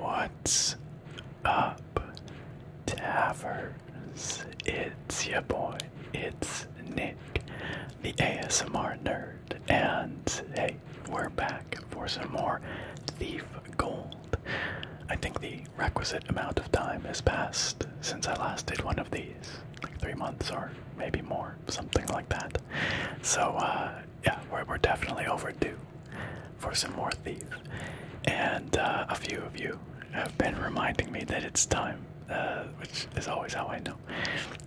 What's up, Taverns? It's your boy, it's Nick, the ASMR nerd and hey, we're back for some more Thief Gold. I think the requisite amount of time has passed since I last did one of these, like three months or maybe more, something like that. So, uh, yeah, we're, we're definitely overdue for some more Thief. And uh, a few of you have been reminding me that it's time. Uh, which is always how I know.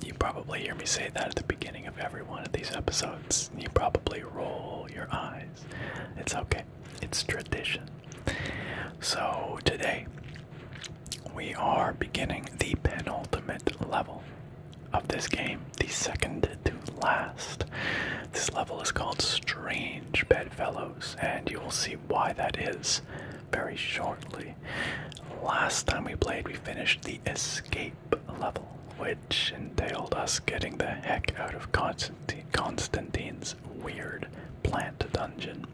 You probably hear me say that at the beginning of every one of these episodes you probably roll your eyes. It's okay, it's tradition. So, today we are beginning the penultimate level of this game, the second to last. This level is called Strange Bedfellows, and you will see why that is very shortly. Last time we played, we finished the escape level, which which entailed us getting the heck out of Constantine's weird plant dungeon,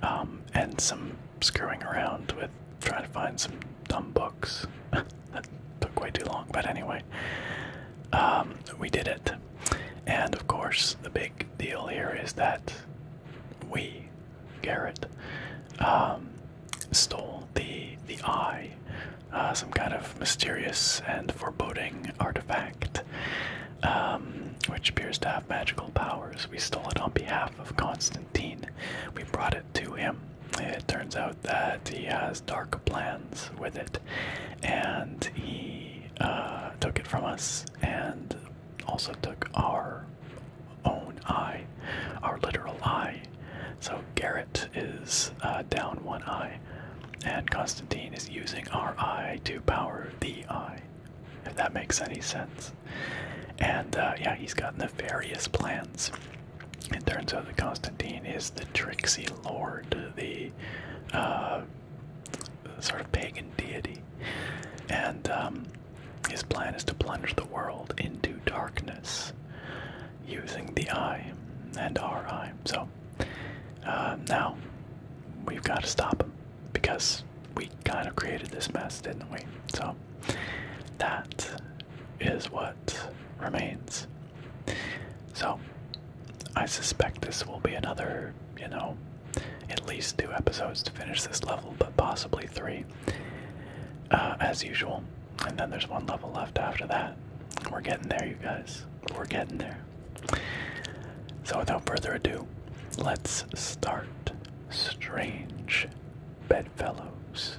um, and some screwing around with trying to find some dumb books. that took way too long, but anyway, um, we did it. And of course, the big deal here is that we, Garrett, um, stole the the eye uh, some kind of mysterious and foreboding artifact, um, which appears to have magical powers. We stole it on behalf of Constantine. We brought it to him. It turns out that he has dark plans with it, and he uh, took it from us and also took our own eye, our literal eye, so Garrett is uh, down one eye, and Constantine is using our eye to power the eye, if that makes any sense. And uh, yeah, he's got nefarious plans. It turns out that Constantine is the tricksy lord, the uh, sort of pagan deity. And um, his plan is to plunge the world into darkness using the I and RI. So uh, now we've got to stop because we kind of created this mess, didn't we? So that is what remains. So I suspect this will be another, you know, at least two episodes to finish this level, but possibly three. Uh, as usual, and then there's one level left after that. We're getting there, you guys. We're getting there. So, without further ado, let's start Strange Bedfellows.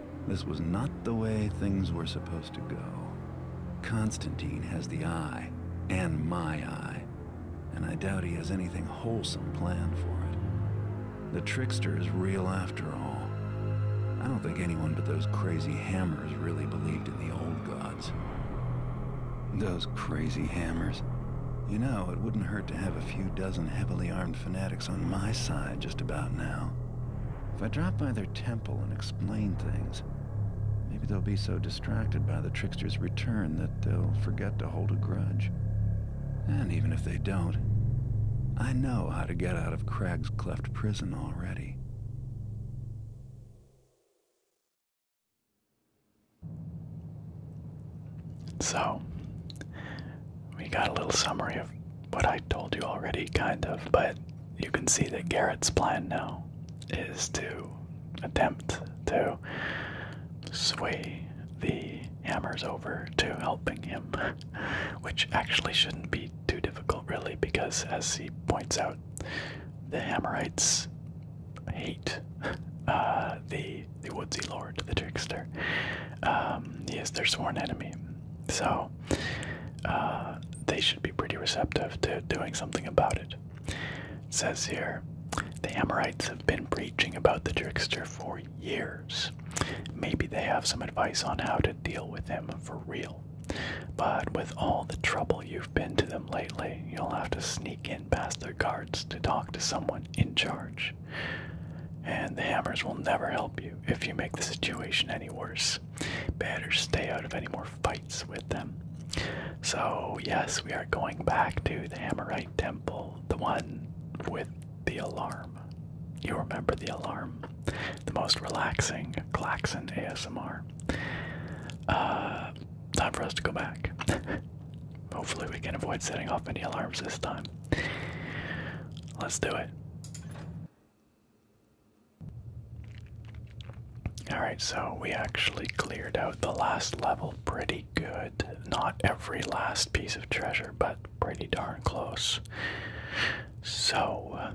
This was not the way things were supposed to go. Constantine has the eye, and my eye, and I doubt he has anything wholesome planned for it. The trickster is real after all. I don't think anyone but those crazy hammers really believed in the old gods. Those crazy hammers. You know, it wouldn't hurt to have a few dozen heavily armed fanatics on my side just about now. If I drop by their temple and explain things, maybe they'll be so distracted by the trickster's return that they'll forget to hold a grudge. And even if they don't, I know how to get out of Crag's cleft prison already. So, we got a little summary of what I told you already, kind of, but you can see that Garrett's plan now is to attempt to sway the hammers over to helping him, which actually shouldn't be too difficult, really, because as he points out, the hammerites hate uh, the the woodsy lord, the trickster. Um, he is their sworn enemy, so uh, they should be pretty receptive to doing something about it. It says here the Amorites have been preaching about the trickster for years. Maybe they have some advice on how to deal with him for real. But with all the trouble you've been to them lately, you'll have to sneak in past their guards to talk to someone in charge. And the hammers will never help you if you make the situation any worse. Better stay out of any more fights with them. So, yes, we are going back to the Hammerite Temple, the one with the alarm. You remember the alarm? The most relaxing Klaxon ASMR. Uh, time for us to go back. Hopefully, we can avoid setting off any alarms this time. Let's do it. Alright, so we actually cleared out the last level pretty good. Not every last piece of treasure, but pretty darn close. So, uh,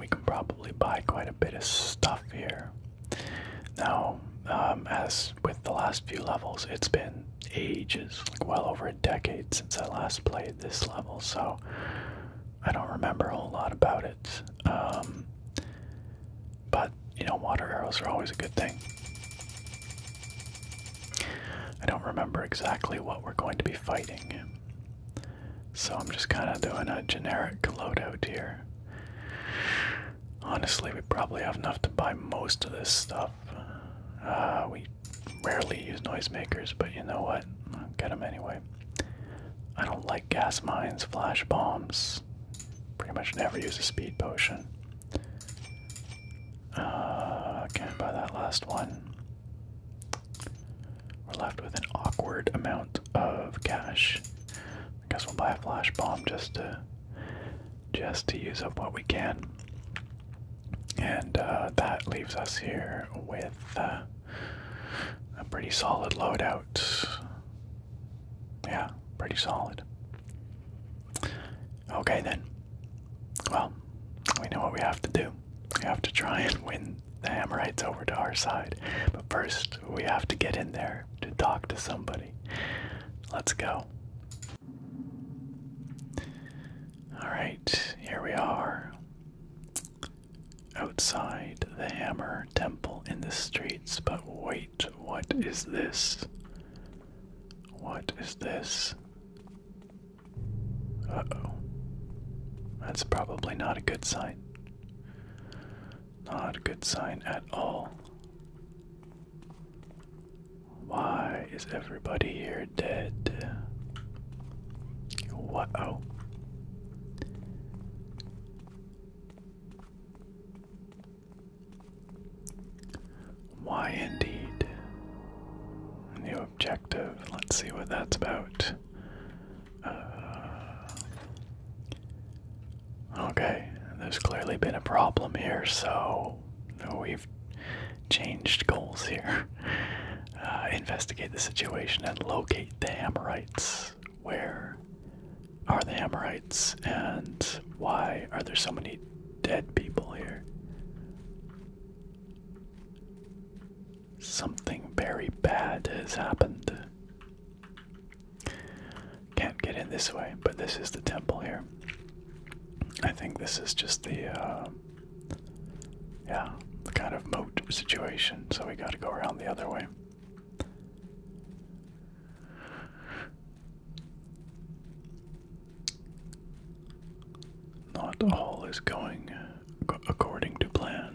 we can probably buy quite a bit of stuff here. Now, um, as with the last few levels, it's been ages, well over a decade since I last played this level, so I don't remember a whole lot about it. Um, but, you know, water arrows are always a good thing. I don't remember exactly what we're going to be fighting. So I'm just kind of doing a generic loadout here. Honestly, we probably have enough to buy most of this stuff. Uh, we rarely use noisemakers, but you know what? I'll get them anyway. I don't like gas mines, flash bombs. Pretty much never use a speed potion. Uh, can't buy that last one. We're left with an awkward amount of cash. I guess we'll buy a flash bomb just to just to use up what we can. And uh, that leaves us here with uh, a pretty solid loadout. Yeah, pretty solid. Okay then. Well, we know what we have to do. We have to try and win the Amorites over to our side. But first, we have to get in there to talk to somebody. Let's go. Alright, here we are. Outside the hammer temple in the streets, but wait, what is this? What is this? Uh oh. That's probably not a good sign. Not a good sign at all. Why is everybody here dead? What? Oh. Why indeed? New objective. Let's see what that's about. Uh, okay, there's clearly been a problem here, so we've changed goals here. Uh, investigate the situation and locate the Amorites. Where are the Amorites, and why are there so many dead people here? Something very bad has happened. Can't get in this way, but this is the temple here. I think this is just the uh, yeah, kind of moat situation, so we gotta go around the other way. Not all is going according to plan.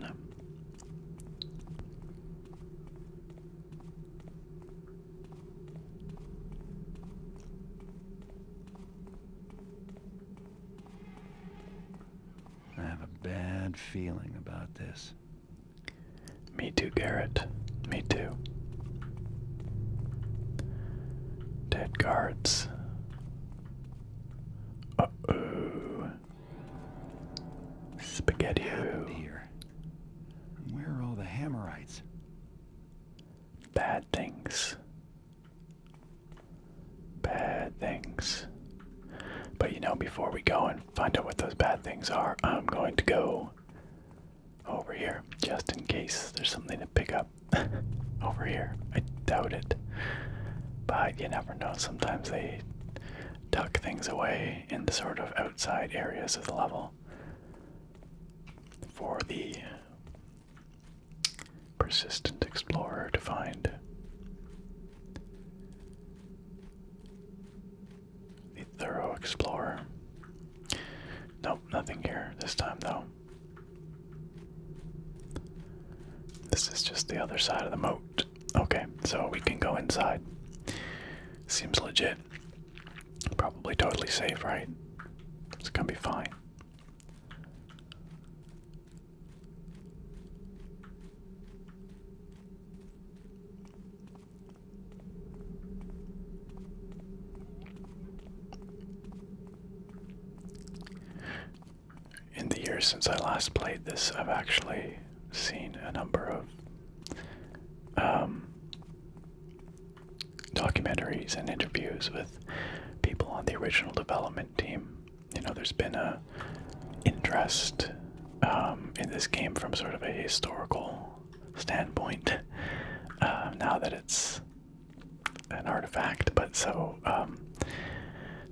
I have a bad feeling about this. Me too, Garrett. Me too. Dead guards. Uh oh. Spaghetti. here? where are all the hammerites? Bad things. Bad things. But you know, before we go and find out what those bad things are, I'm going to go over here just in case there's something to pick up over here. I doubt it. But you never know. Sometimes they tuck things away in the sort of outside areas of the level for the persistent explorer to find. The thorough explorer. Nope, nothing here this time though. This is just the other side of the moat. Okay, so we can go inside. Seems legit. Probably totally safe, right? It's gonna be fine. In the years since I last played this, I've actually seen a number of um, documentaries and interviews with people on the original development team you know, there's been a interest um, in this game from sort of a historical standpoint. Uh, now that it's an artifact, but so um,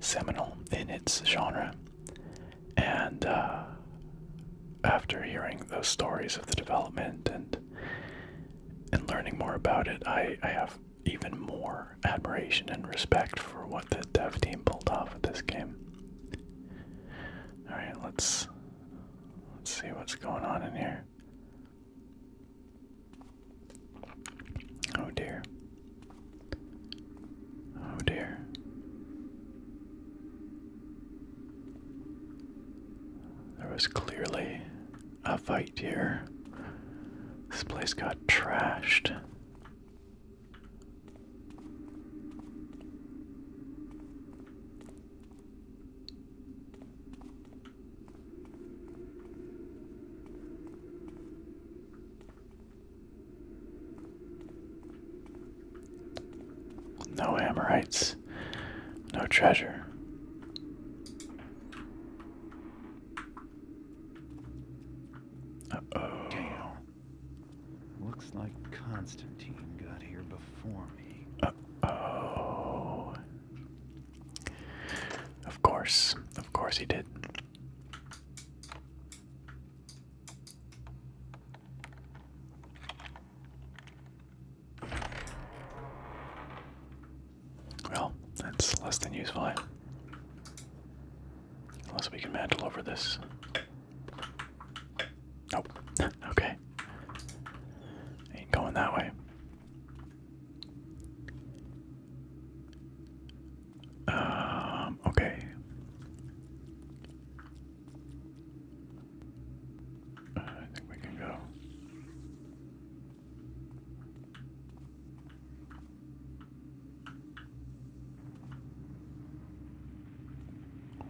seminal in its genre, and uh, after hearing those stories of the development and and learning more about it, I, I have even more admiration and respect for what the dev team pulled off with this game. All right, let's let's see what's going on in here. Oh dear. Oh dear. There was clearly a fight here. This place got trashed. No Amorites, no treasure. Uh oh. Looks like Constantine got here before me. oh. Of course. Of course he did. Well, that's less than useful. Eh? Unless we can mantle over this. Nope. okay. Ain't going that way. Um, okay. Uh, I think we can go.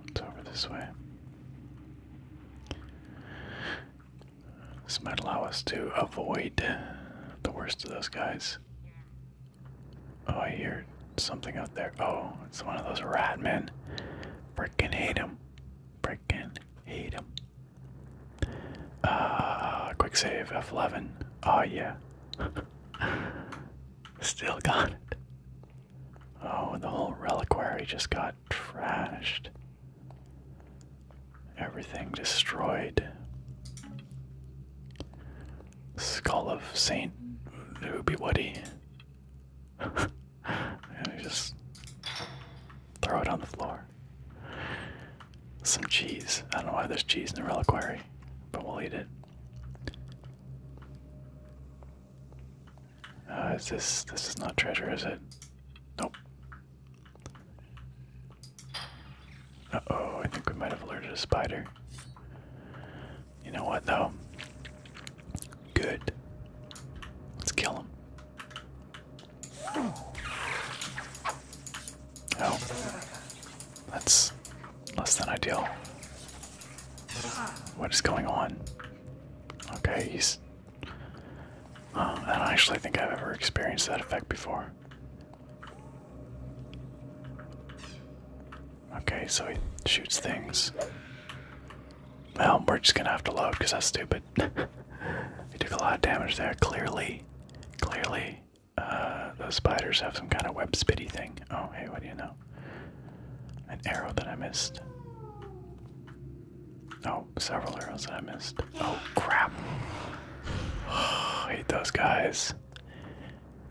It's over this way. This might allow us to avoid the worst of those guys. Oh, I hear something out there. Oh, it's one of those rat men. Freaking hate him. Freaking hate him. Uh, quick save F11. Oh, yeah. Still got it. Oh, the whole reliquary just got trashed. Everything destroyed. Skull of Saint Ubi Woody. and just throw it on the floor. Some cheese. I don't know why there's cheese in the reliquary, but we'll eat it. Uh, is this this is not treasure, is it? Nope. Uh oh, I think we might have alerted a spider. You know what though? Good. Let's kill him. Oh, that's less than ideal. What is going on? Okay, he's. Uh, I don't actually think I've ever experienced that effect before. Okay, so he shoots things. Well, we're just gonna have to load because that's stupid. he took a lot of damage there, clearly. Clearly. Uh, those spiders have some kind of web spitty thing. Oh, hey, what do you know? An arrow that I missed. Oh, several arrows that I missed. Oh, crap. hate those guys.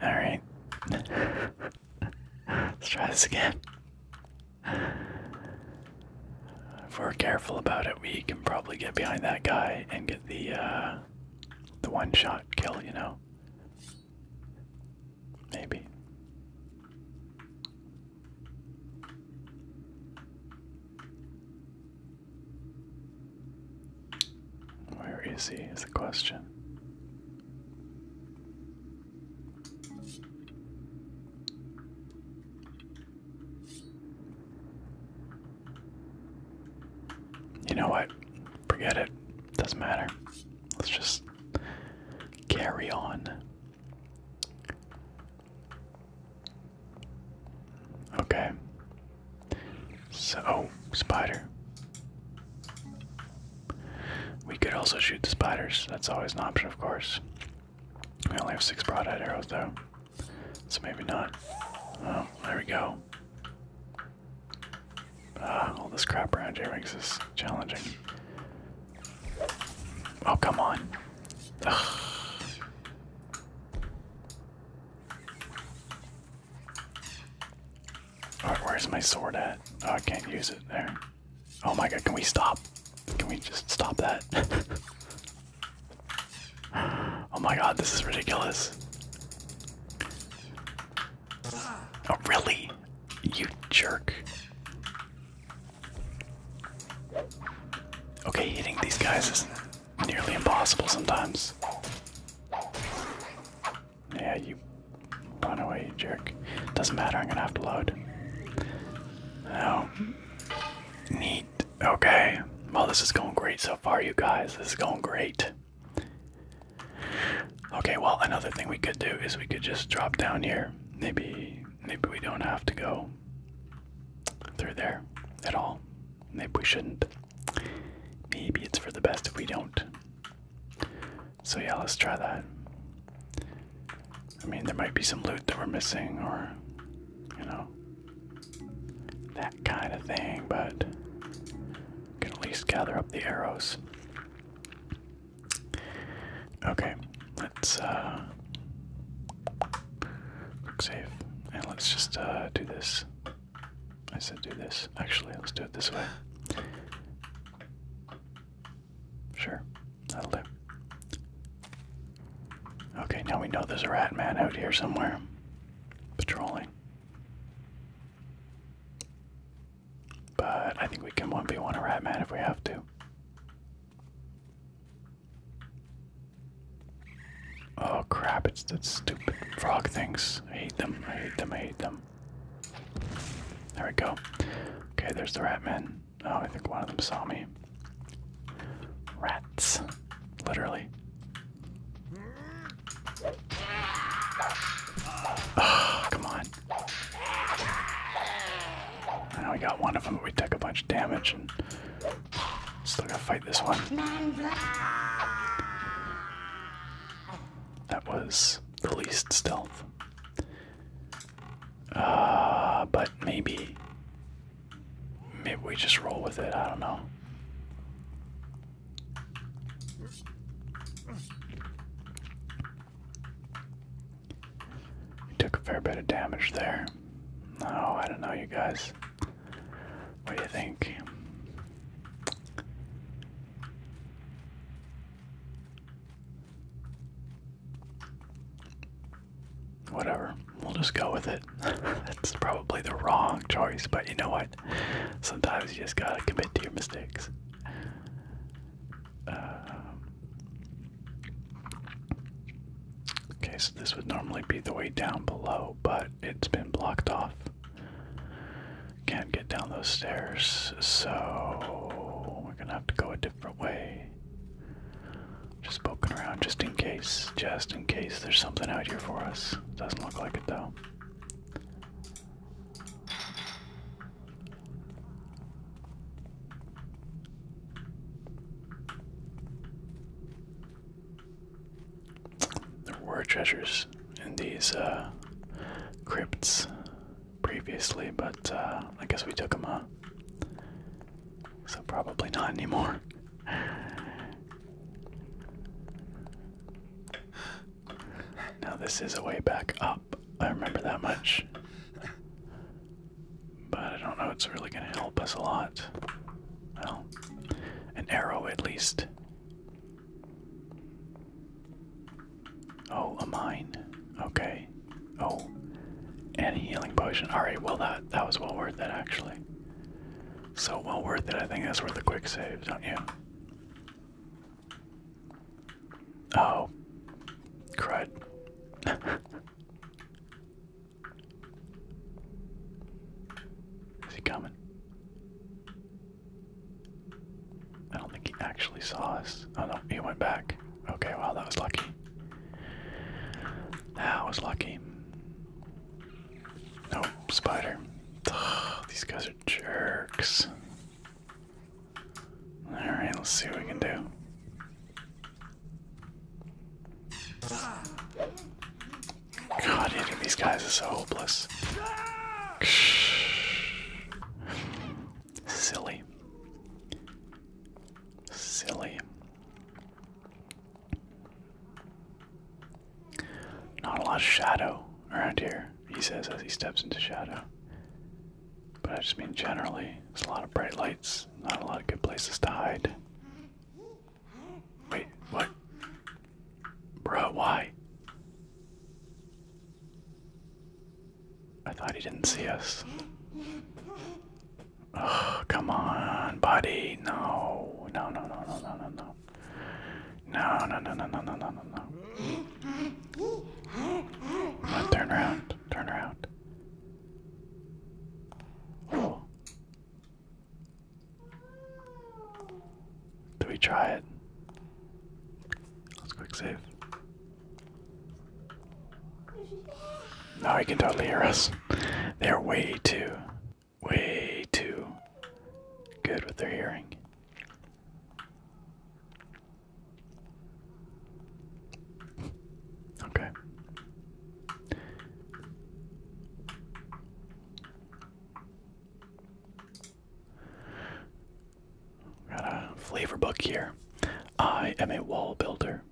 Alright. Let's try this again. If we're careful about it, we can probably get behind that guy and get the, uh, the one-shot kill, you know? Maybe. Where is he? Is the question. You know what? Forget it. Doesn't matter. Let's just carry on. Okay. So, oh, spider. We could also shoot the spiders. That's always an option, of course. We only have six broadhead arrows, though. So maybe not. Oh, there we go. Ah, all this crap around here makes this challenging. Oh, come on. All right, where's my sword at? Oh, I can't use it there. Oh my god, can we stop? Can we just stop that? oh my god, this is ridiculous. Oh, really? You jerk. Okay, hitting these guys is nearly impossible sometimes. Yeah, you run away, you jerk. Doesn't matter, I'm gonna have to load. Oh. Neat. Okay. Well, this is going great so far, you guys. This is going great. Okay, well, another thing we could do is we could just drop down here. Maybe maybe we don't have to go through there at all. Maybe we shouldn't. Maybe it's for the best if we don't. So yeah, let's try that. I mean, there might be some loot that we're missing or, you know, that kind of thing, but can at least gather up the arrows. Okay, let's uh save. And let's just uh do this. I said do this. Actually, let's do it this way. Sure, that'll do. Okay, now we know there's a rat man out here somewhere. Patrolling. But I think we can one be one a man if we have to. Oh crap, it's that stupid frog things. I hate them, I hate them, I hate them. There we go. Okay, there's the rat man. Oh, I think one of them saw me. Rats. Literally. come on. I we got one of them, but we took a bunch of damage and still gotta fight this one. That was the least stealth. Uh, but maybe. Maybe we just roll with it, I don't know. We took a fair bit of damage there. oh, I don't know, you guys. What do you think? Whatever, we'll just go with it. It's probably the wrong choice, but you know what? Sometimes you just gotta commit to your mistakes. Um, okay, so this would normally be the way down below, but it's been blocked off. Can't get down those stairs, so we're gonna have to go a different way. Just poking around just in case, just in case there's something out here for us. Doesn't look like it though. There were treasures in these uh, crypts previously, but uh, I guess we took them So probably not anymore. Now, this is a way back up. I remember that much. But I don't know it's really going to help us a lot. Well, an arrow at least. Oh, a mine. Okay. Oh, and a healing potion. Alright, well, that, that was well worth it, actually. So well worth it. I think that's worth a quick save, don't you? Oh, crud. Is he coming? I don't think he actually saw us. Oh no, he went back. Okay, well that was lucky. That was lucky. No, spider. these guys are jerks. Alright, let's see what we can do. God, hitting these guys is so hopeless. Silly. Silly. Not a lot of shadow around here he says as he steps into shadow. But I just mean generally, there's a lot of bright lights, not a lot of good places to hide. Wait, what? Bro, why? I thought he didn't see us. Oh, come on, buddy. no, no, no, no, no, no, no. No, no, no, no, no, no, no, no, no. Now turn around, turn around. Oh. Do we try it? Let's quick save. No, he can totally hear us. They're way too, way too good with their hearing. Okay. Got a flavor book here. I am a wall builder.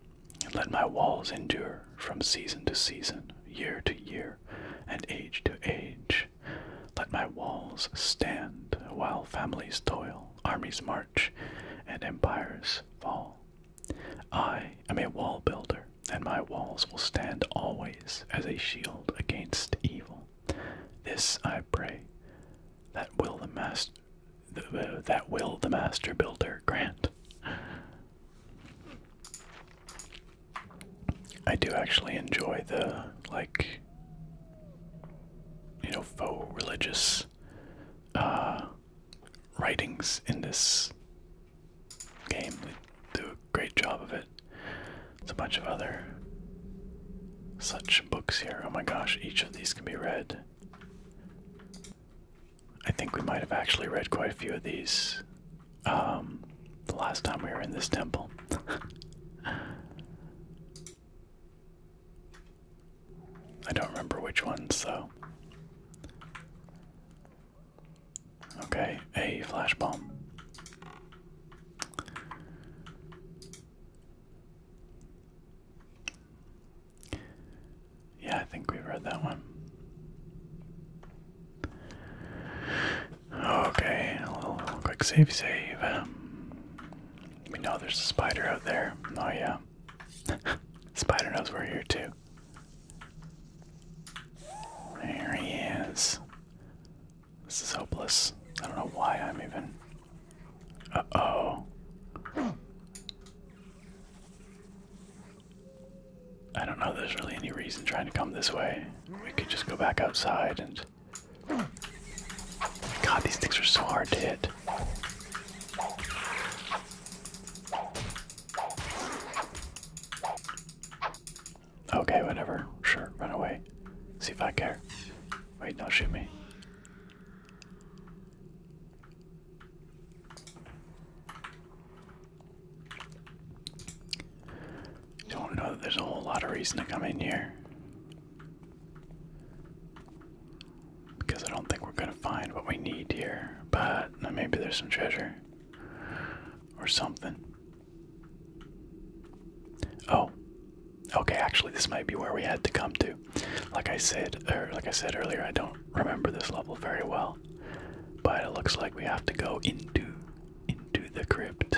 and Let my walls endure from season to season, year to year, and age to age. Let my walls stand while families toil, armies march, and empires fall. I am a wall builder, and my walls will stand always as a shield against evil. This I pray, that will the master, uh, that will the master builder grant. I do actually enjoy the like you know faux religious uh, writings in this game. They do a great job of it. There's a bunch of other such books here. Oh my gosh, each of these can be read. I think we might have actually read quite a few of these um, the last time we were in this temple. I don't remember which one. so. Okay, a flash bomb. Yeah, I think we've read that one. Okay, a little quick save, save. We know there's a spider out there. Oh, yeah. spider knows we're here, too. There he is. This is hopeless. I don't know why I'm even. Uh oh. I don't know if there's really any reason trying to come this way. We could just go back outside and God, these things are so hard to hit. Okay, whatever. Sure, run away. See if I care. Wait, no, shoot me. Don't know that there's a whole lot of reason to come in here. Because I don't think we're gonna find what we need here, but maybe there's some treasure or something. Oh, okay. Actually, this might be where we had to come to. Like I said, er, like I said earlier, I don't remember this level very well, but it looks like we have to go into into the crypt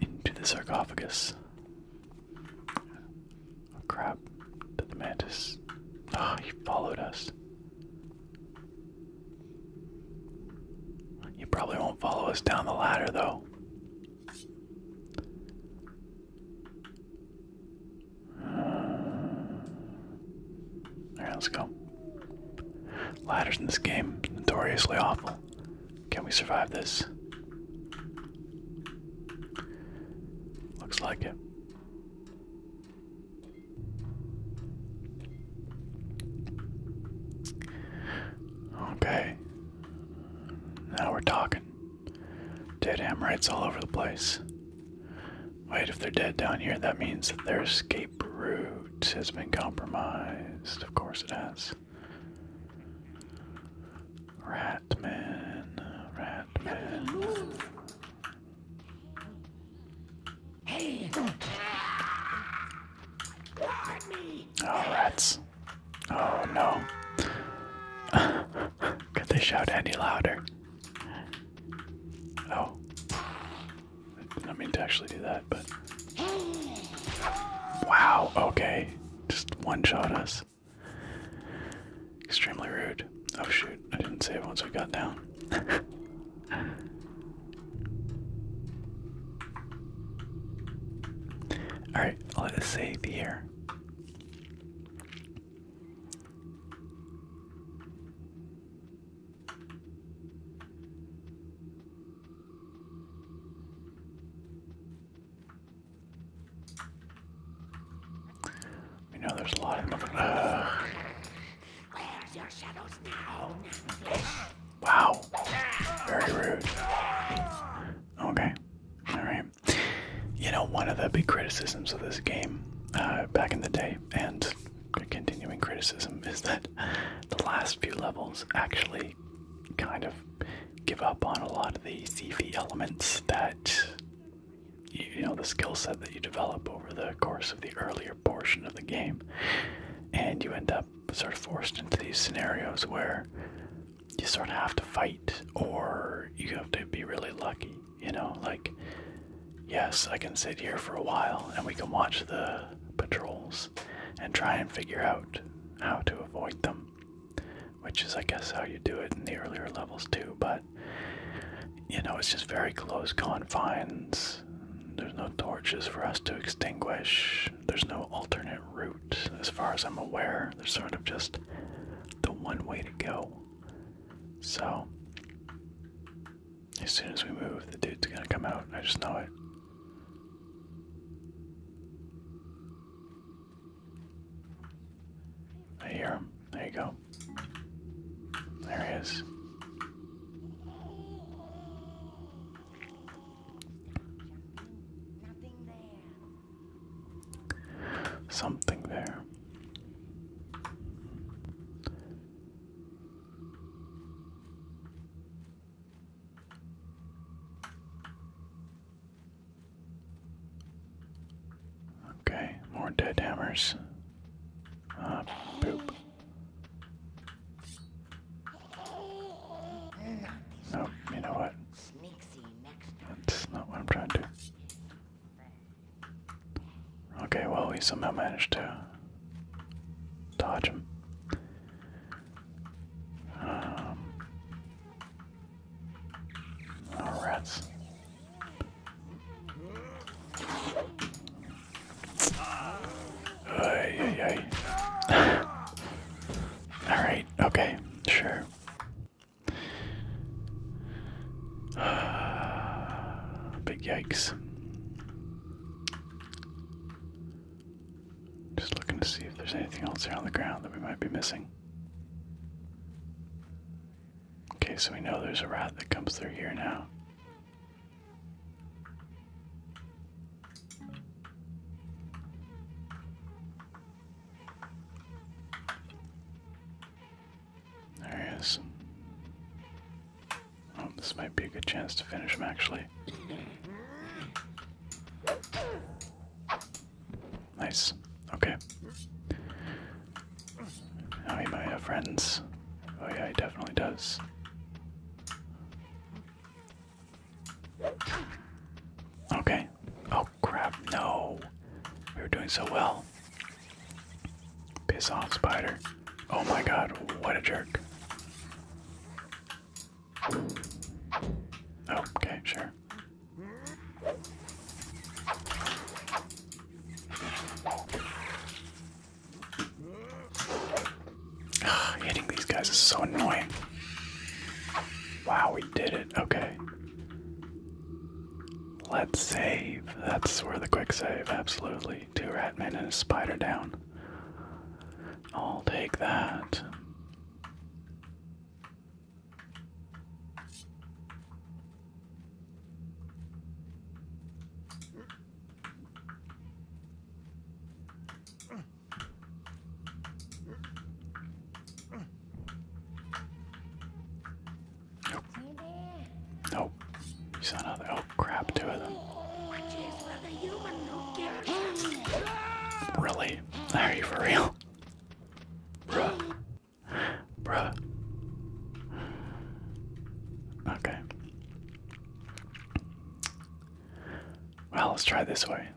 into the sarcophagus. Oh crap, the mantis. Ah, oh, he followed us. You probably won't follow us down the ladder, though. Alright, let's go. Ladders in this game, notoriously awful. Can we survive this? Looks like it. Okay. Now we're talking. Dead Amorites all over the place. Wait, if they're dead down here, that means that their escape route has been compromised. Of course it has. Ratman, Ratman. Hey! me! Oh, rats. Oh no. Could they shout any louder? Oh. I didn't mean to actually do that, but. Wow, okay just one shot us. Extremely rude. Oh shoot, I didn't save once we got down. Alright, right, let us save here. You know, there's a lot of mother. Uh. Where's your shadows now? Wow. Very rude. Okay. Alright. You know, one of the big criticisms of this game uh, back in the day, and continuing criticism, is that the last few levels actually kind of give up on a lot of the CV elements that you know the skill set that you develop over the course of the earlier portion of the game, and you end up sort of forced into these scenarios where you sort of have to fight or you have to be really lucky. You know, like yes, I can sit here for a while and we can watch the patrols and try and figure out how to avoid them which is, I guess, how you do it in the earlier levels too. But you know, it's just very close confines. There's no torches for us to extinguish. There's no alternate route, as far as I'm aware. There's sort of just the one way to go. So, as soon as we move, the dude's gonna come out. I just know it. I hear him. There you go. There he is. Something there. Okay, more dead hammers. Ah, uh, poop. you know what? That's not what I'm trying to do. Okay, well, we somehow managed to dodge them. Um, Oh, rats. Alright, okay, sure. Big yikes. Just looking to see if there's anything else here on the ground that we might be missing. Okay, so we know there's a rat that comes through here now. There he is. Oh, this might be a good chance to finish him actually. Nice. Okay. Now he might have friends. Oh yeah, he definitely does. Okay. Oh crap, no. We were doing so well. Piss off, spider. Oh my god, what a jerk okay, sure. hitting these guys is so annoying. Wow, we did it. Okay. Let's save. That's where the quick save, absolutely. Two ratmen and a spider down. I'll take that. Nope. Nope. You saw another. Oh crap! Two of them. Really? Are you for real? Bruh. Bruh. Okay. Well, let's try this way.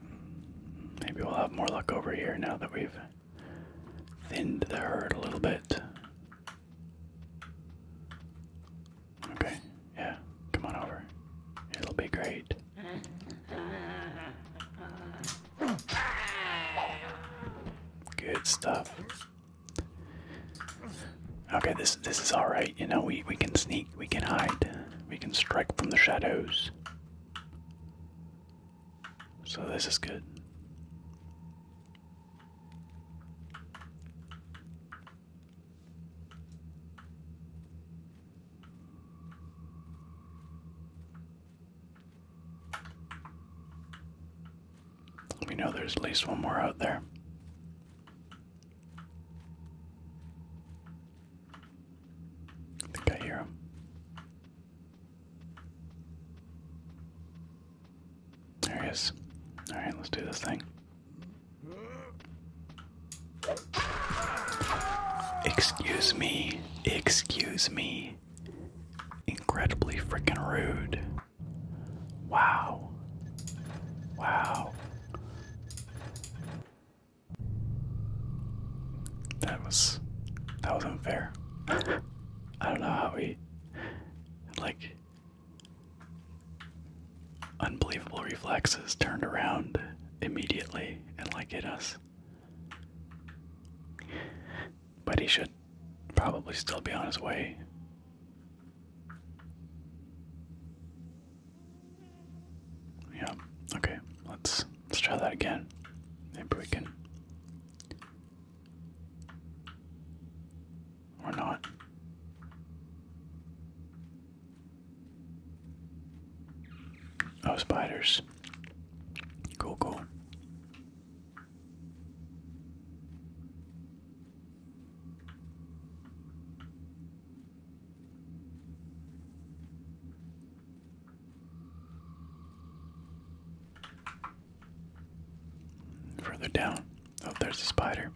Maybe we'll have more luck over here now that we've thinned the herd a little bit. Okay, yeah, come on over. It'll be great. Good stuff. Okay, this this is all right. You know, we we can sneak, we can hide, we can strike from the shadows. So this is good. We know there's at least one more out there. I think I hear him. There he is. Alright, let's do this thing. Excuse me. Excuse me. Incredibly freaking rude. Wow. Wow. That was that was unfair. I don't know how we like unbelievable reflexes turned around immediately and like hit us. But he should probably still be on his way. Yeah, okay, let's let's try that again. Maybe we can or not. Oh spiders. Go go. Further down. Oh, there's a spider.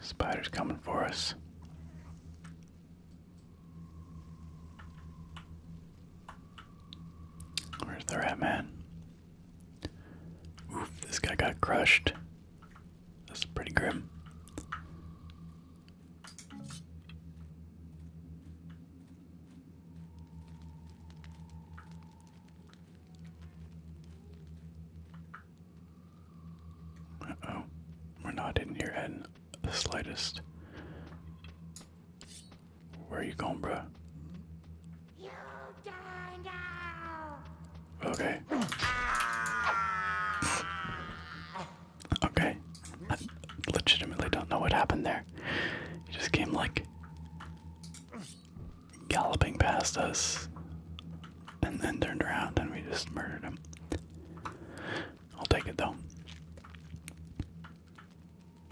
spider's coming for us. Where's the rat man? this guy got crushed. That's pretty grim. Uh oh, we're not in here heading the slightest. Where are you going, bruh? You die now. Okay. okay. I legitimately don't know what happened there. He just came like galloping past us and then turned around and we just murdered him. I'll take it though.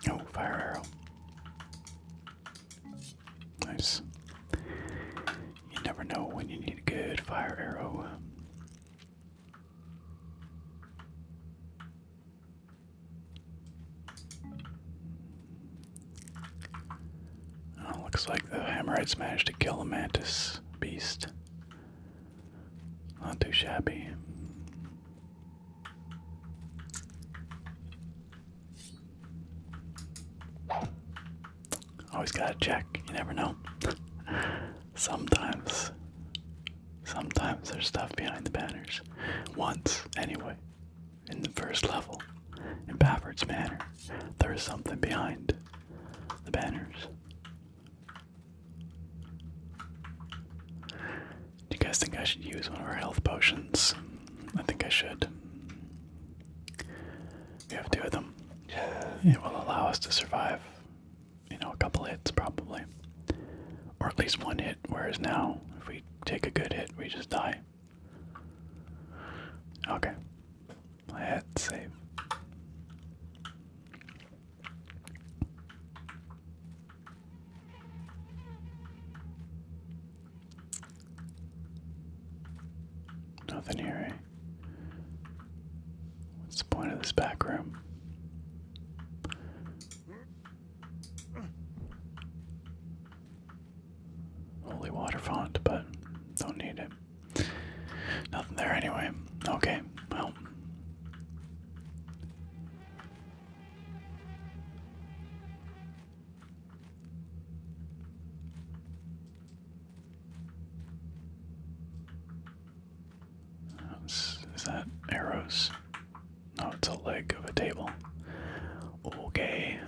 Oh, fire arrow. Nice. You never know when you need a good fire arrow. Uh, looks like the hammerhead managed to kill a mantis beast. Not too shabby. Always gotta check, you never know. sometimes, sometimes there's stuff behind the banners. Once, anyway, in the first level, in Baffert's Manor, there is something behind the banners. Do you guys think I should use one of our health potions? I think I should. We have two of them. It will allow us to survive, you know, a couple hits probably. Or at least one hit, whereas now, if we take a good hit, we just die. Okay. Let's save. Nothing here, eh? What's the point of this back room? Holy water font, but don't need it. Nothing there anyway. Okay, well, um, is that arrows? No, it's a leg of a table. Okay.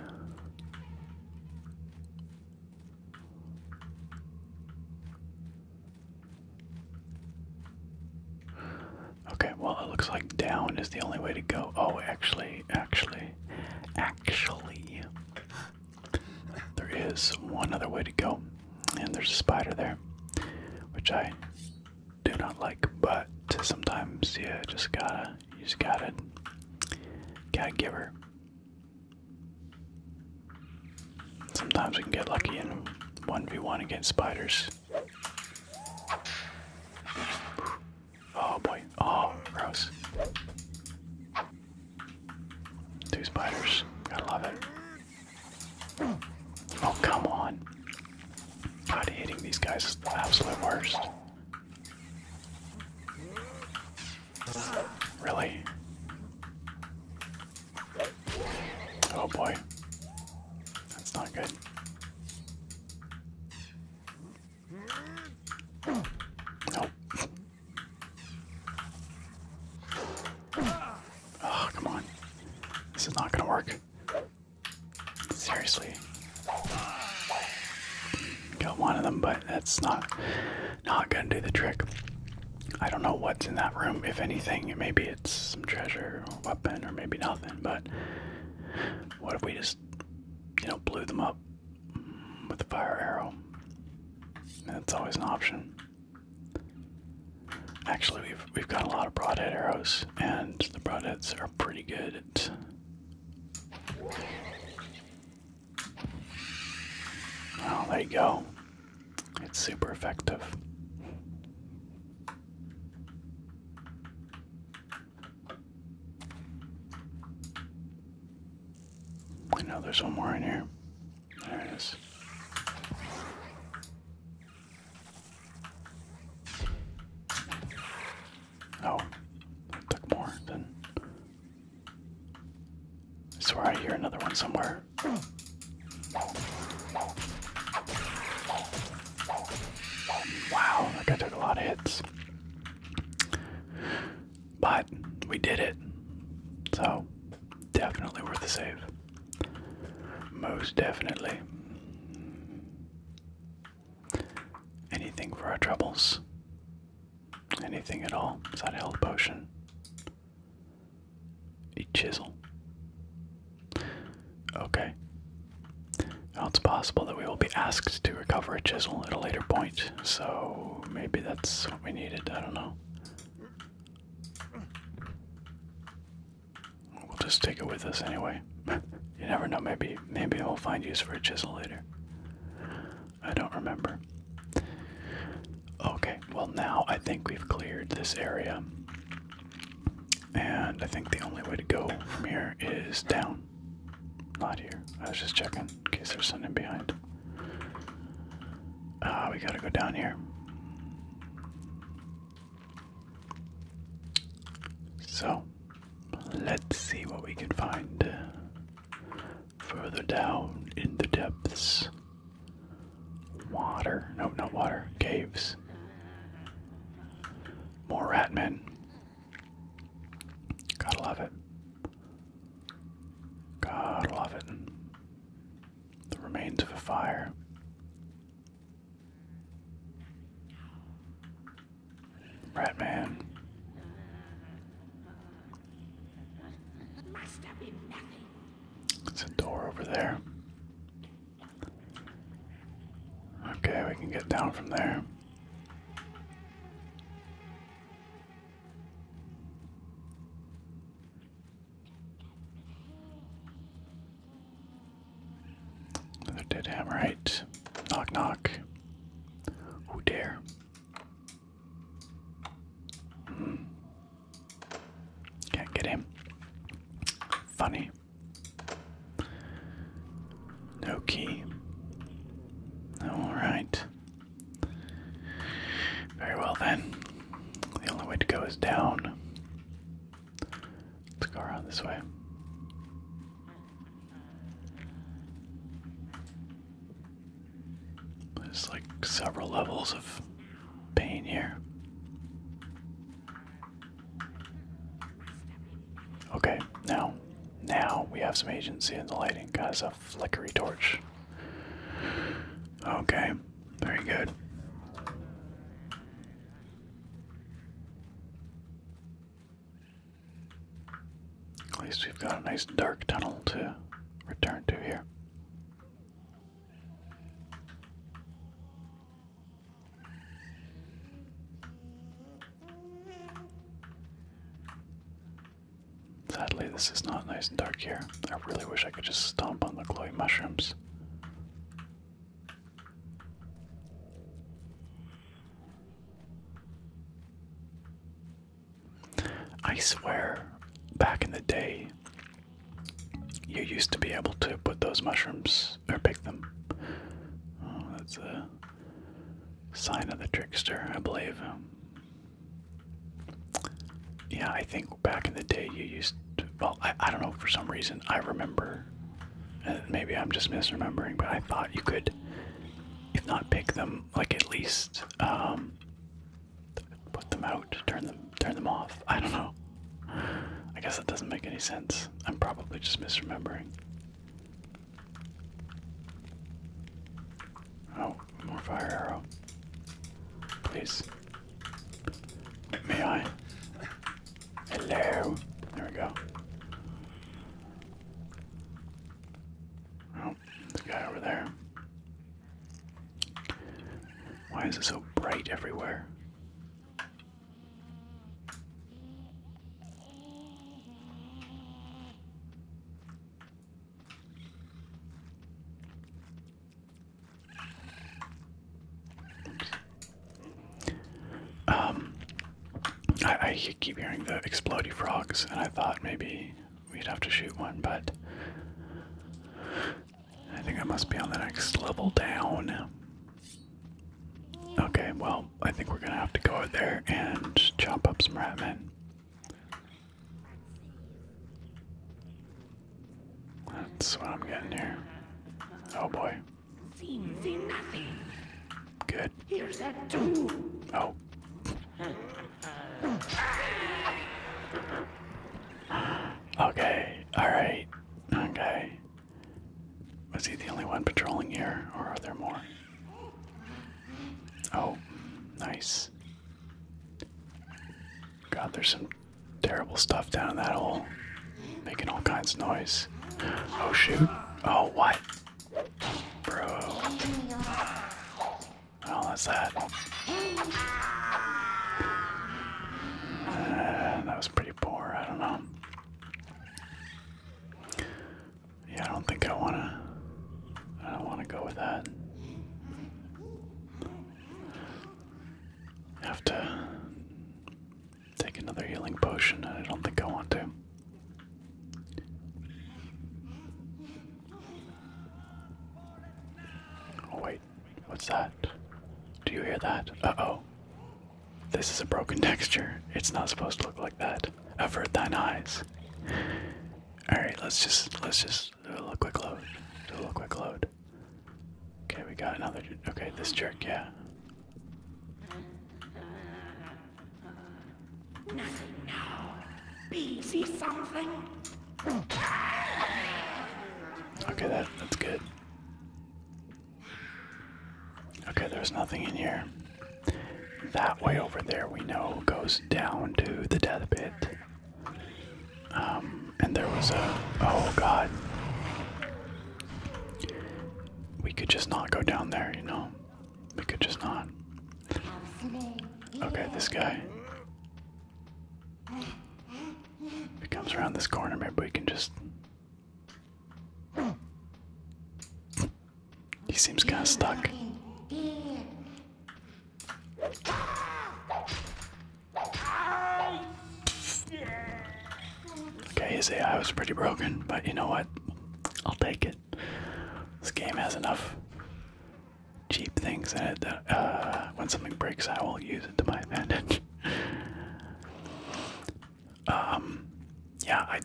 Okay, well, it looks like down is the only way to go. Oh, actually, actually, actually, there is one other way to go, and there's a spider there, which I do not like, but sometimes yeah, just gotta, you just gotta, gotta give her. Sometimes we can get lucky in 1v1 against spiders. Oh boy. Oh, gross. Two spiders. I love it. Oh, come on. God, hitting these guys is the absolute worst. Really? Oh boy. That's not good. Nope. Oh, come on. This is not gonna work. Seriously. Got one of them, but that's not not gonna do the trick. I don't know what's in that room, if anything. Maybe it's some treasure or weapon or maybe nothing, but what if we just, you know, blew them up with a fire arrow? That's always an option. Actually, we've we've got a lot of broadhead arrows, and the broadheads are pretty good Oh, there you go. It's super effective. I know there's one more in here. There it is. Oh, that took more than. I swear I hear another one somewhere. Wow, that guy took a lot of hits. But we did it. So, definitely worth the save. Most definitely. Anything for our troubles. Anything at all. Is that a potion? A chisel. Okay. Now it's possible that we will be asked to recover a chisel at a later point, so maybe that's what we needed. I don't know. We'll just take it with us anyway. you never know. Maybe maybe we'll find use for a chisel later. I don't remember. Okay. Well, now I think we've cleared this area. And I think the only way to go from here is down. Not here. I was just checking in case there's something behind. Ah, we gotta go down here. So, let's see what we can find further down in the depths. Water. Nope, no water. Caves. More rat men. Gotta love it. Gotta love it. The remains of a fire. Rat man. There's a door over there. Okay, we can get down from there. Another dead hammerite. Knock, knock. Who dare? Hmm. Can't get him. Funny. No key. Alright. Very well then. The only way to go is down. Let's go around this way. There's like several levels of pain here. Okay, now, now we have some agency in the lighting. Got a flickery torch. Okay, very good. At least we've got a nice dark tunnel to return to here. Sadly, this is not nice and dark here. I really wish I could just stomp on the glowing mushrooms. I swear, back in the day, you used to be able to put those mushrooms or pick them. Oh, that's a sign of the trickster, I believe. Yeah, I think back in the day you used. well, I, I don't know for some reason I remember. And maybe I'm just misremembering, but I thought you could, if not pick them, like at least um, put them out, turn them, turn them off. I don't know. I guess that doesn't make any sense. I'm probably just misremembering. Oh, more fire arrow. Please. May I? Hello. There we go. Oh, the guy over there. Why is it so bright everywhere? Um, I, I keep hearing the explody frogs, and I thought maybe we'd have to shoot one, but I think I must be on the next level down. Okay, well, I think we're gonna have to go out there and chop up some ratmen. That's what I'm getting here. Oh boy. Good. Here's that too. Oh. Okay, alright. Okay. Was he the only one patrolling here, or are there more? Oh, nice. God, there's some terrible stuff down in that hole. Making all kinds of noise. Oh, shoot. Oh, what? Bro. Well, that's that. Uh, that pretty poor. I don't know. Yeah, I don't think I wanna. I don't wanna go with that. I have to take another healing potion, I don't think I want to. Oh, wait, What's that? Do you hear that? Uh oh. This is a broken texture. It's not supposed to look like that. Avert thine eyes. Alright, let's just let's just do a little quick load. Do a little quick load. Okay, we got another okay, this jerk, yeah. Nothing now. Please see something. Okay, that that's good. Okay, there's nothing in here. That way over there, we know, goes down to the death pit. Um, and there was a. Oh god. We could just not go down there, you know? We could just not. Okay, this guy. he comes around this corner, maybe we can just he seems kind of stuck. Okay, his AI was pretty broken, but you know what? I'll take it. This game has enough cheap things in it that uh, when something breaks, I will use it to my advantage. Um, yeah, I.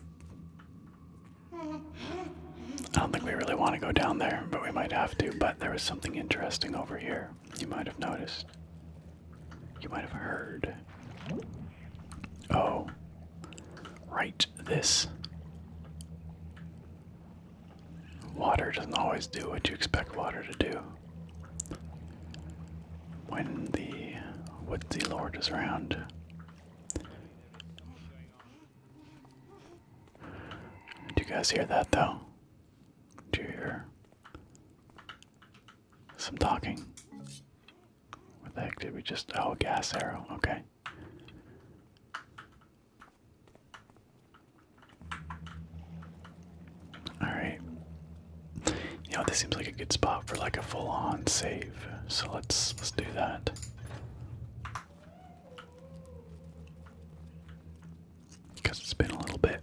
I don't think we really want to go down there, but we might have to. But there was something interesting over here. You might have noticed. You might have heard. Oh. Right, this. Water doesn't always do what you expect water to do when the woodsy lord is around. Do you guys hear that though? Do you hear some talking? What the heck did we just. Oh, gas arrow. Okay. Alright. You know, this seems like a good spot for like a full-on save. So let's let's do that. Because it's been a little bit.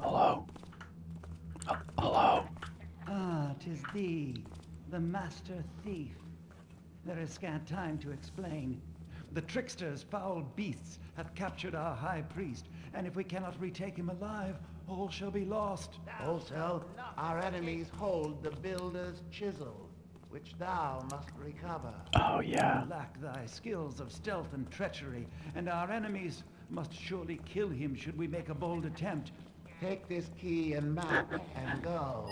Hello? Uh, hello? Ah, tis thee, the master thief. There is scant time to explain. The tricksters, foul beasts, have captured our high priest, and if we cannot retake him alive, all shall be lost. also, our enemies hold the builder's chisel, which thou must recover. Oh, yeah. lack thy skills of stealth and treachery, and our enemies must surely kill him should we make a bold attempt. Take this key and map and go.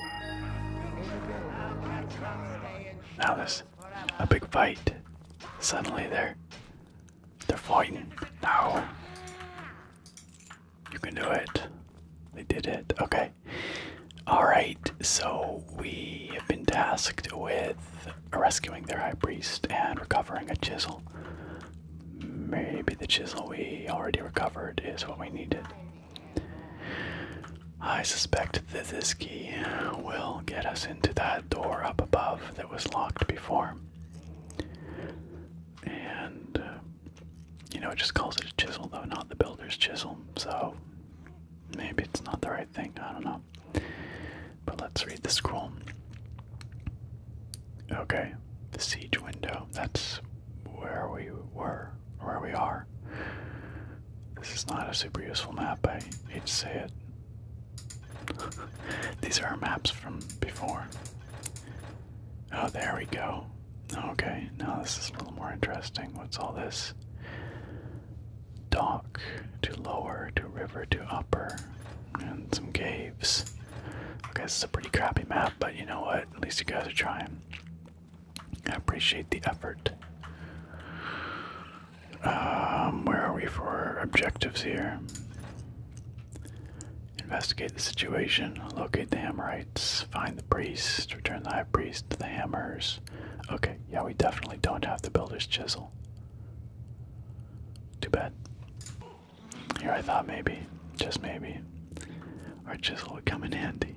Now there's a big fight. Suddenly they're they're fighting. Now you can do it. They did it. Okay. All right. So we have been tasked with rescuing their high priest and recovering a chisel. Maybe the chisel we already recovered is what we needed. I suspect that this key will get us into that door up above that was locked before. And, uh, you know, it just calls it a chisel, though, not the builder's chisel, so maybe it's not the right thing. I don't know. But let's read the scroll. Okay, the siege window. That's where we were, where we are. This is not a super useful map, I hate to say it. These are our maps from before. Oh, there we go. Okay, now this is a little more interesting. What's all this? Dock to lower to river to upper and some caves. Okay, this is a pretty crappy map, but you know what? At least you guys are trying. I appreciate the effort. Um, where are we for objectives here? Investigate the situation, locate the Hammerites, find the priest, return the high priest to the Hammers. Okay, yeah, we definitely don't have the builder's chisel. Too bad. Here I thought maybe, just maybe, our chisel would come in handy.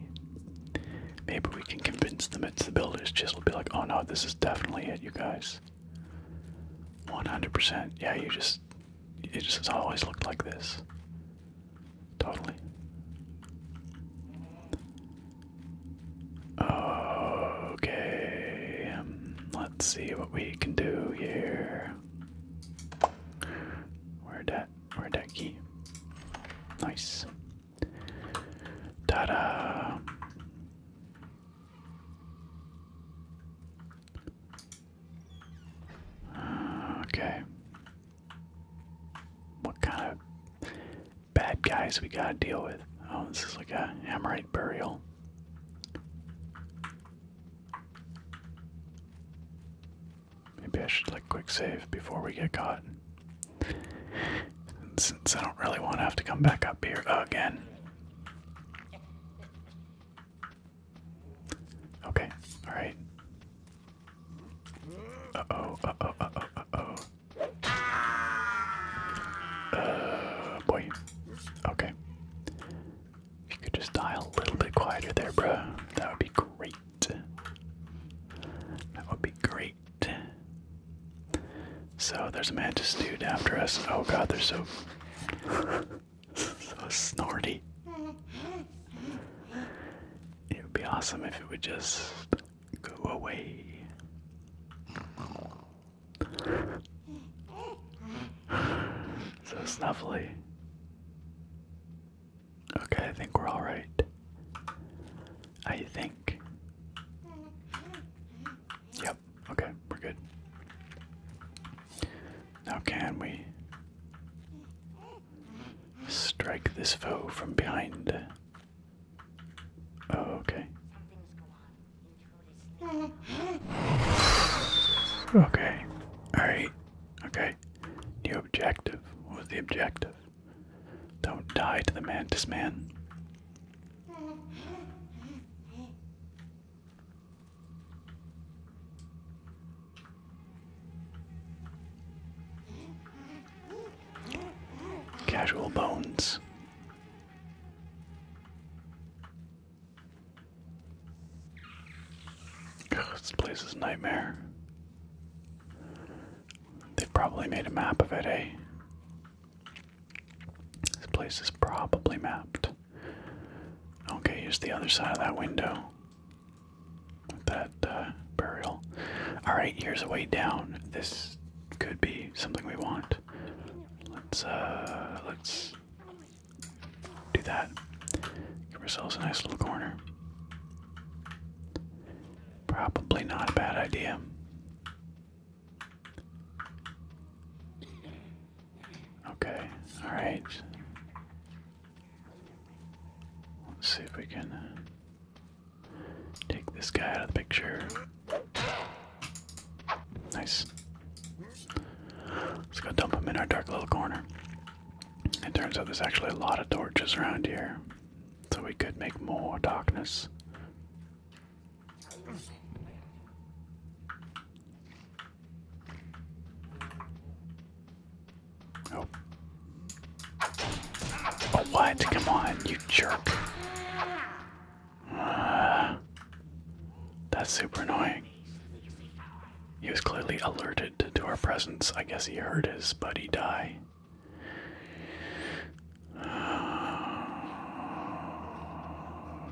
Maybe we can convince them it's the builder's chisel. Be like, oh no, this is definitely it, you guys. 100%. Yeah, you just, it just has always looked like this. Totally. Okay. Um, Let's see what we can do here. where that where that key? Nice. Ta-da! okay. What kind of bad guys we gotta deal with? Oh, this is like a Amorite burial. Maybe I should like quick save before we get caught. since I don't really want to have to come back up here again. Okay, alright. Uh oh, uh oh, oh, oh. boy. Okay you could just die a little bit quieter there, bro, that would be great. That would be great. So there's a mantis dude after us. Oh god, they're so so snorty. It would be awesome if it would just go away so snuffly. Okay, I think we're alright. I think. Yep, okay, we're good. Now, can we strike this foe from behind? Oh, okay. Okay. Alright. Okay. New objective. What was the objective? Don't die to the mantis man. Casual bones this place is a nightmare. They've probably made a map of it, eh? This place is probably mapped. Okay, here's the other side of that window. that uh, burial. Alright, here's a way down. This could be something we want. Let's, uh, let's do that. Give ourselves a nice little corner. Probably not a bad idea. Okay, alright. Let's see if we can uh, take this guy out of the picture. Nice. Let's go dump them in our dark little corner. It turns out there's actually a lot of torches around here, so we could make more darkness. Oh. Oh, what? Come on, you jerk. Ah. that's super annoying. He was clearly alerted to our presence. I guess he heard his buddy die.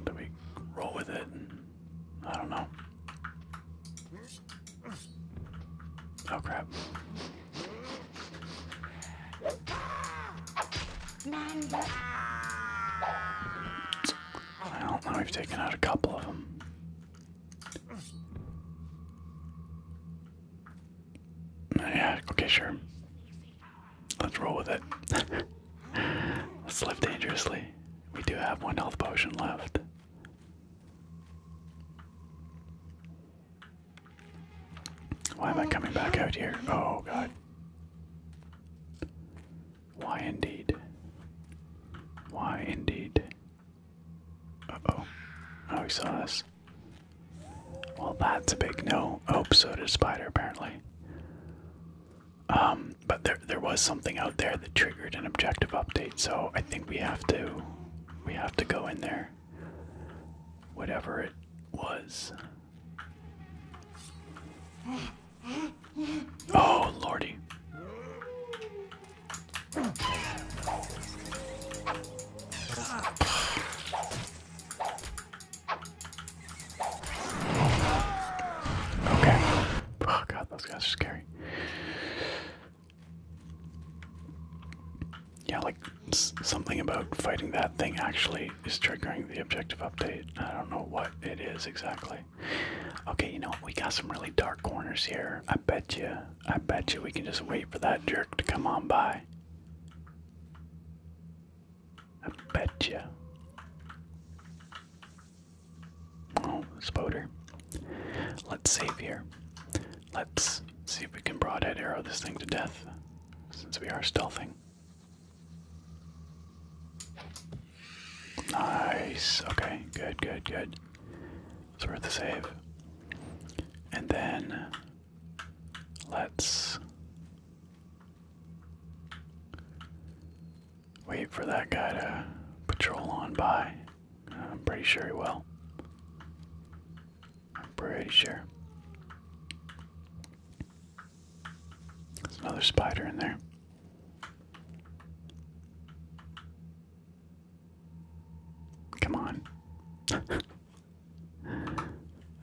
do we roll with it? I don't know. Oh crap. Well, now we've taken out a couple of them. Yeah, okay, sure. Let's roll with it. Let's live dangerously. We do have one health potion left. Why am I coming back out here? Oh god. Why indeed? Why indeed? Uh oh. Oh, he saw this. Well, that's a big no. Oh, so did Spider, apparently. Um, but there, there was something out there that triggered an objective update, so I think we have to, we have to go in there. Whatever it was. Eh. Oh, lordy. Okay. Oh god, those guys are scary. Yeah, like something about fighting that thing actually is triggering the objective update. I don't know what it is exactly. Okay, you know We got some really dark corners here. I bet you, I bet you we can just wait for that jerk to come on by. I bet you. Oh, spoder. Let's save here. Let's see if we can broadhead arrow this thing to death, since we are stealthing. Nice. Okay, good, good, good. So we're the save. And then let's wait for that guy to patrol on by. I'm pretty sure he will. I'm pretty sure. There's another spider in there. Come on.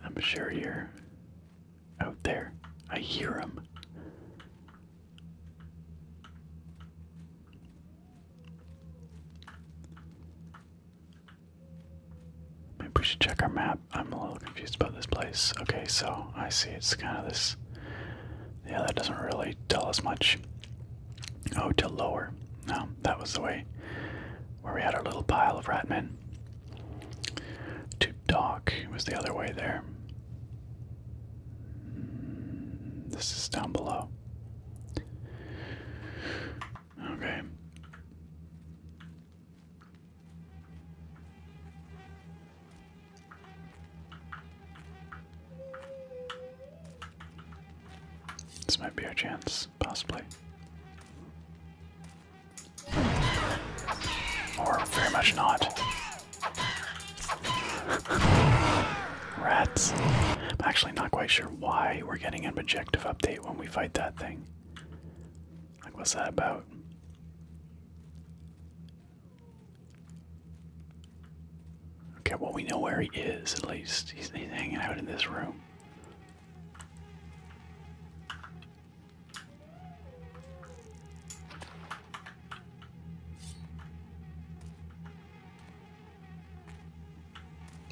I'm sure you're out there. I hear him. Maybe we should check our map. I'm a little confused about this place. Okay, so I see it's kind of this yeah, that doesn't really tell us much. Oh, to lower. No, that was the way where we had our little pile of rat men. To dock was the other way there. Hmm, this is down below. Okay. This might be our chance, possibly. Or very much not. Rats. I'm actually not quite sure why we're getting an objective update when we fight that thing. Like, what's that about? Okay, well, we know where he is, at least. He's, hanging out in this room.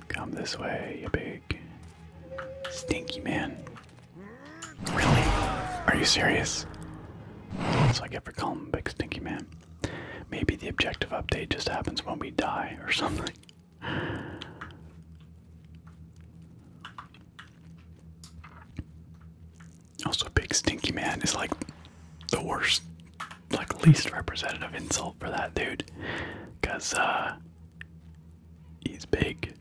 Come this way, you big stinky man. Are you serious? That's what I get for calling him Big Stinky Man. Maybe the objective update just happens when we die or something. Also, Big Stinky Man is like the worst, like least representative insult for that dude. Because, uh, he's big.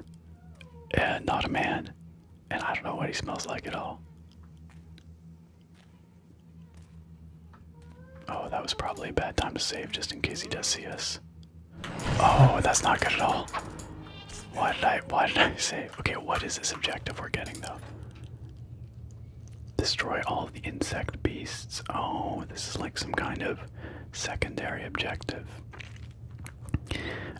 and not a man. And I don't know what he smells like at all. Oh, that was probably a bad time to save just in case he does see us. Oh, that's not good at all. Why did I why did I save? Okay, what is this objective we're getting though? Destroy all the insect beasts. Oh, this is like some kind of secondary objective.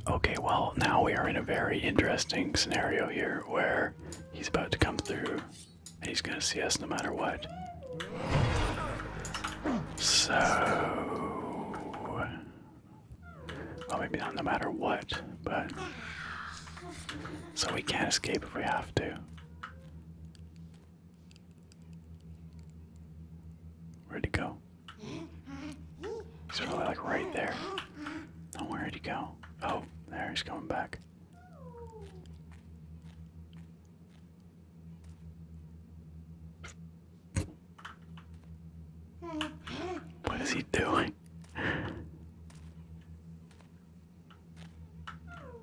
Okay, well, now we are in a very interesting scenario here where he's about to come through he's gonna see us no matter what. So. Well, maybe not no matter what, but. So we can't escape if we have to. Ready to go? He's really like right there. Oh, where did he go? Oh, there he's coming back. What is he doing?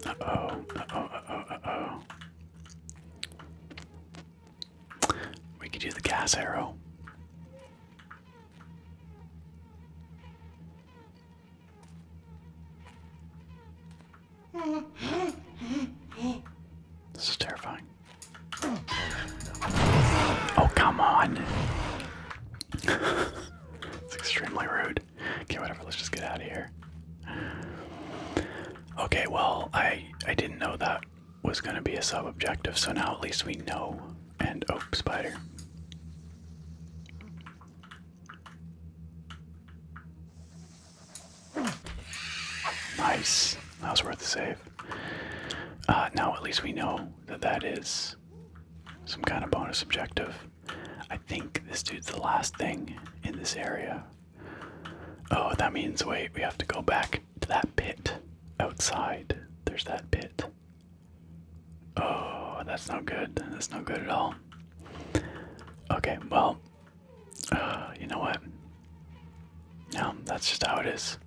Uh oh, uh oh, uh oh, uh oh. We could do the gas arrow. This is terrifying. Oh, come on! it's extremely rude. Okay, whatever, let's just get out of here. Okay, well, I I didn't know that was going to be a sub objective, so now at least we know and oak oh, spider. Nice. That was worth the save. Uh, now at least we know that that is some kind of bonus objective. I think this dude's the last thing in this area. Oh, that means wait, we have to go back to that pit outside. There's that pit. Oh, that's no good. That's no good at all. Okay, well, uh, you know what? No, that's just how it is.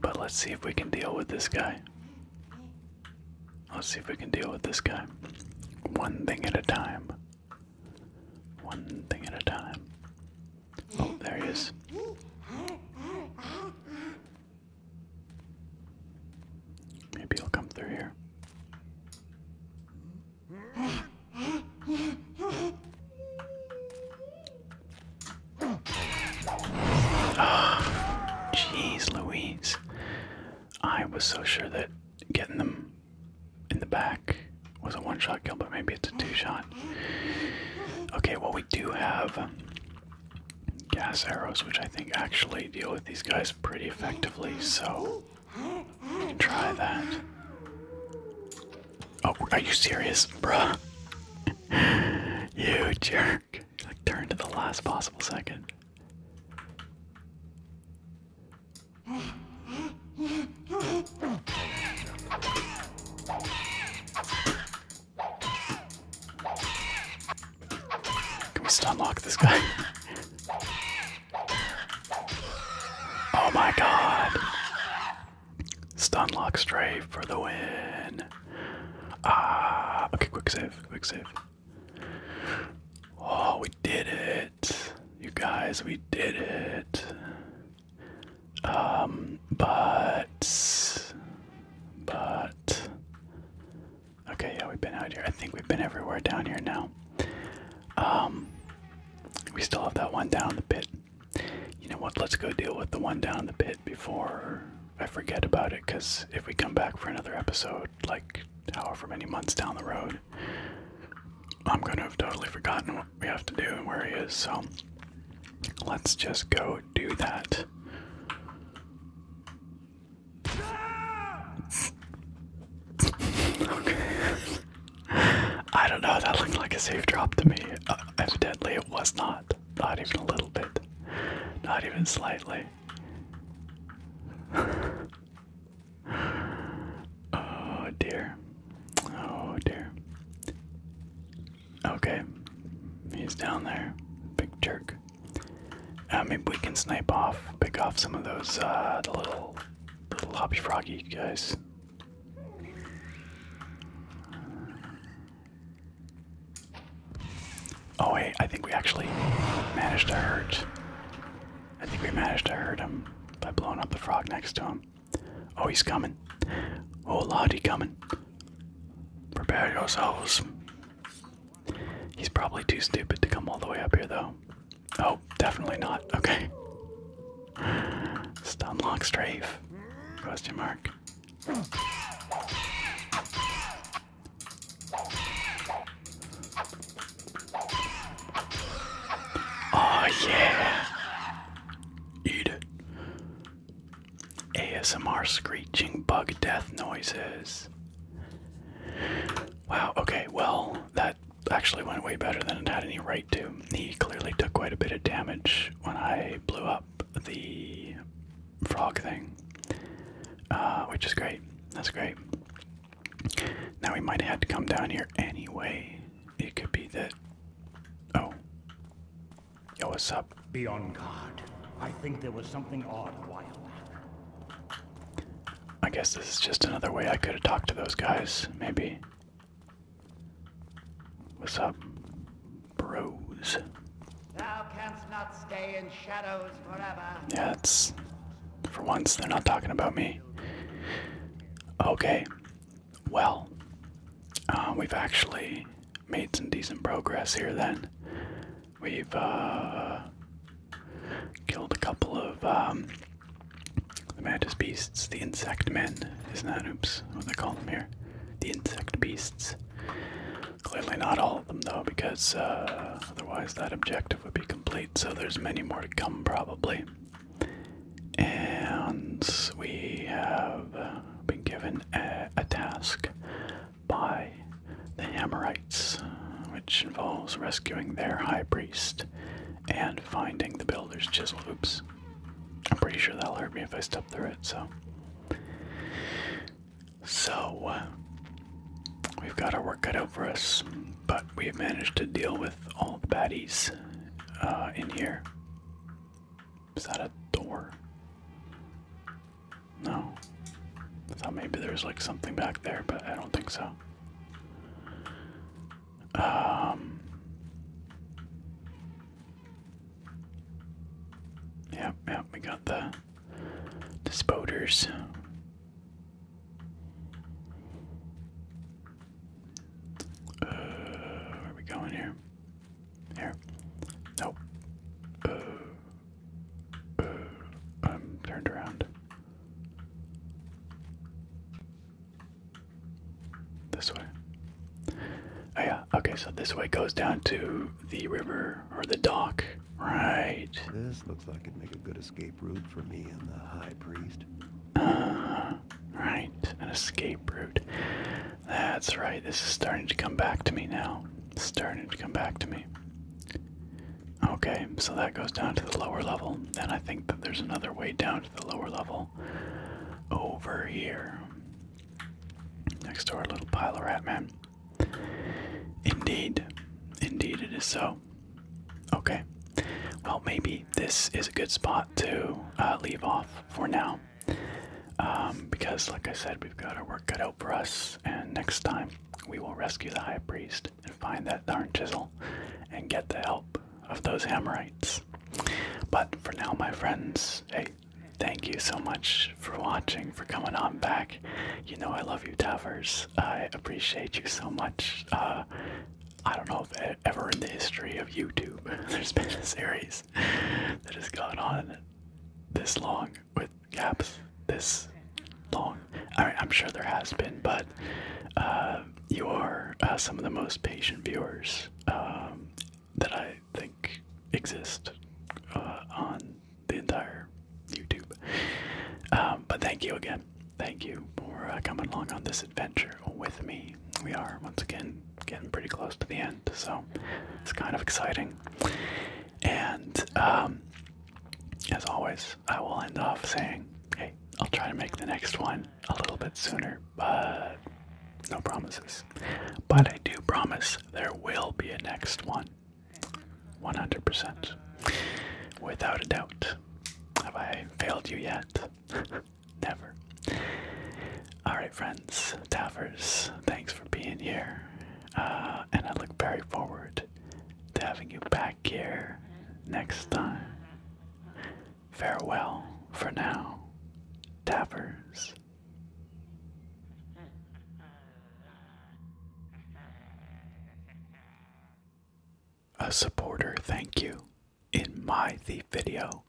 But let's see if we can deal with this guy. Let's see if we can deal with this guy. One thing at a time. One thing at a time. Oh, there he is. Maybe he'll come through here. jeez, Louise. I was so sure that getting them in the back was a one shot kill, but maybe it's a two shot. Okay, well, we do have gas arrows, which I think actually deal with these guys pretty effectively, so we can try that. Oh, are you serious, bruh? you jerk. You like to the last possible second. Can we stun lock this guy? oh my god. Stun lock strafe for the win. Ah, okay, quick save, quick save. Oh, we did it. You guys, we did it. Um, but but okay, yeah, we've been out here. I think we've been everywhere down here now. Um, we still have that one down in the pit. You know what? Let's go deal with the one down in the pit before I forget about it. Because if we come back for another episode, like however many months down the road, I'm gonna have totally forgotten what we have to do and where he is. So let's just go do that okay. I don't know, that looked like a safe drop to me. Uh, evidently, it was not. Not even a little bit. Not even slightly. oh dear. Oh dear. Okay. He's down there. Big jerk. Uh, maybe we can snipe off, pick off some of those uh, the little, little hobby froggy guys. Oh wait, I think we actually managed to hurt. I think we managed to hurt him by blowing up the frog next to him. Oh, he's coming. Oh, Lottie coming. Prepare yourselves. He's probably too stupid to come all the way up here, though. Oh, definitely not. Okay. Stun lock strafe? Question mark. Oh yeah. Eat it. ASMR screeching bug death noises. Wow, okay, well, that actually went way better than it had any right to. He clearly took quite a bit of damage when I blew up the frog thing, uh, which is great. That's great. Now we might have had to come down here anyway. It could be that. Oh. Yo, what's up? Be on guard. I think there was something odd while I guess this is just another way I could have talked to those guys, maybe. What's up, bros? Thou canst not stay in shadows forever. Yeah, it's for once they're not talking about me. Okay, well, uh, we've actually made some decent progress here then. We've uh, killed a couple of um, the mantis beasts, the insect men, isn't that? Oops, what do they call them here? The insect beasts. Clearly not all of them though, because uh, otherwise that objective would be complete. So there's many more to come probably. And we have been given a task by the Amorites, which involves rescuing their high priest and finding the builder's chisel. Oops. I'm pretty sure that'll hurt me if I step through it, so. So, uh, we've got our work cut out for us, but we've managed to deal with all the baddies uh, in here. Is that a door? No. thought maybe there was like something back there, but I don't think so. Um. Yep, yep, we got the dispoters. Uh, where are we going here? Here. Nope. Uh, uh, I'm turned around. This way. Oh, yeah. Okay, so this way goes down to the river or the dock. Right. This looks like it'd make a good escape route for me and the high priest. Uh, right. An escape route. That's right. This is starting to come back to me now. It's starting to come back to me. Okay, so that goes down to the lower level, Then I think that there's another way down to the lower level over here. Next to our little pile of rat man. Indeed, indeed it is so. Okay, well, maybe this is a good spot to uh, leave off for now. Um, because, like I said, we've got our work cut out for us, and next time we will rescue the high priest and find that darn chisel and get the help of those Hammerites. But for now, my friends, hey, thank you so much for watching, for coming on back. You know I love you, Tavers. I appreciate you so much. Uh, I don't know if ever in the history of YouTube there's been a series that has gone on this long with gaps this long. I am sure there has been, but uh, you are uh, some of the most patient viewers um, that I think exist uh, on the entire YouTube. Um, but thank you again. Thank you for coming along on this adventure with me. We are once again getting pretty close to the end, so it's kind of exciting. And um, as always, I will end off saying, hey, I'll try to make the next one a little bit sooner, but no promises. But I do promise there will be a next one. 100%. Without a doubt. Have I failed you yet? Never. Alright, friends, Taffers, thanks for being here. Uh, and I look very forward to having you back here next time. Farewell for now, Tappers. A supporter thank you in my thief video.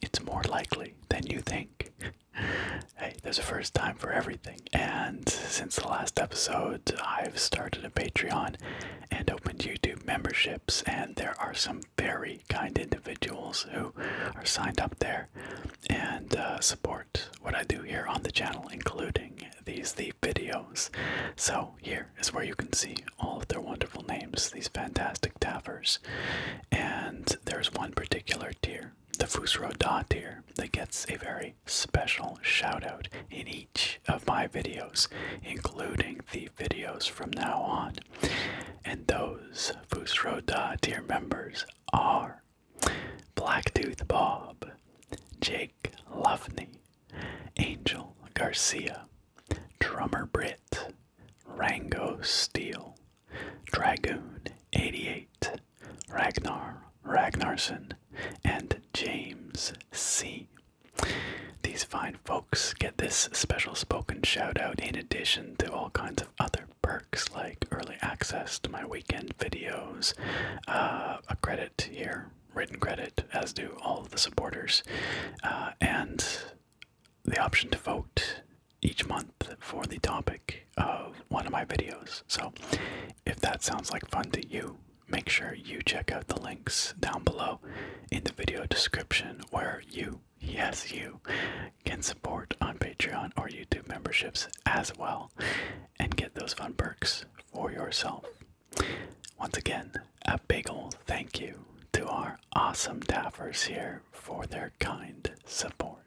It's more likely than you think. hey, there's a first time for everything. And since the last episode, I've started a Patreon and opened YouTube memberships, and there are some very kind individuals who are signed up there and uh, support what I do here on the channel, including these the videos. So, here is where you can see all of their wonderful names, these fantastic tavers, And there's one particular tier, the Fusro Da tier, that gets a very special shout out in each of my videos, including the videos from now on. And those Fusroda dear members are Blacktooth Bob, Jake Lovney, Angel Garcia, Drummer Britt, Rango Steele, Dragoon 88, Ragnar Ragnarsson, and James C. These fine folks get this special spoken shout out in addition to all kinds of other perks like early access to my weekend videos, uh, a credit here, written credit, as do all the supporters, uh, and the option to vote each month for the topic of one of my videos. So if that sounds like fun to you, make sure you check out the links down below in the video description where you, yes, you, can support on Patreon or YouTube memberships as well and get those fun perks for yourself. Once again, a big old thank you to our awesome daffers here for their kind support.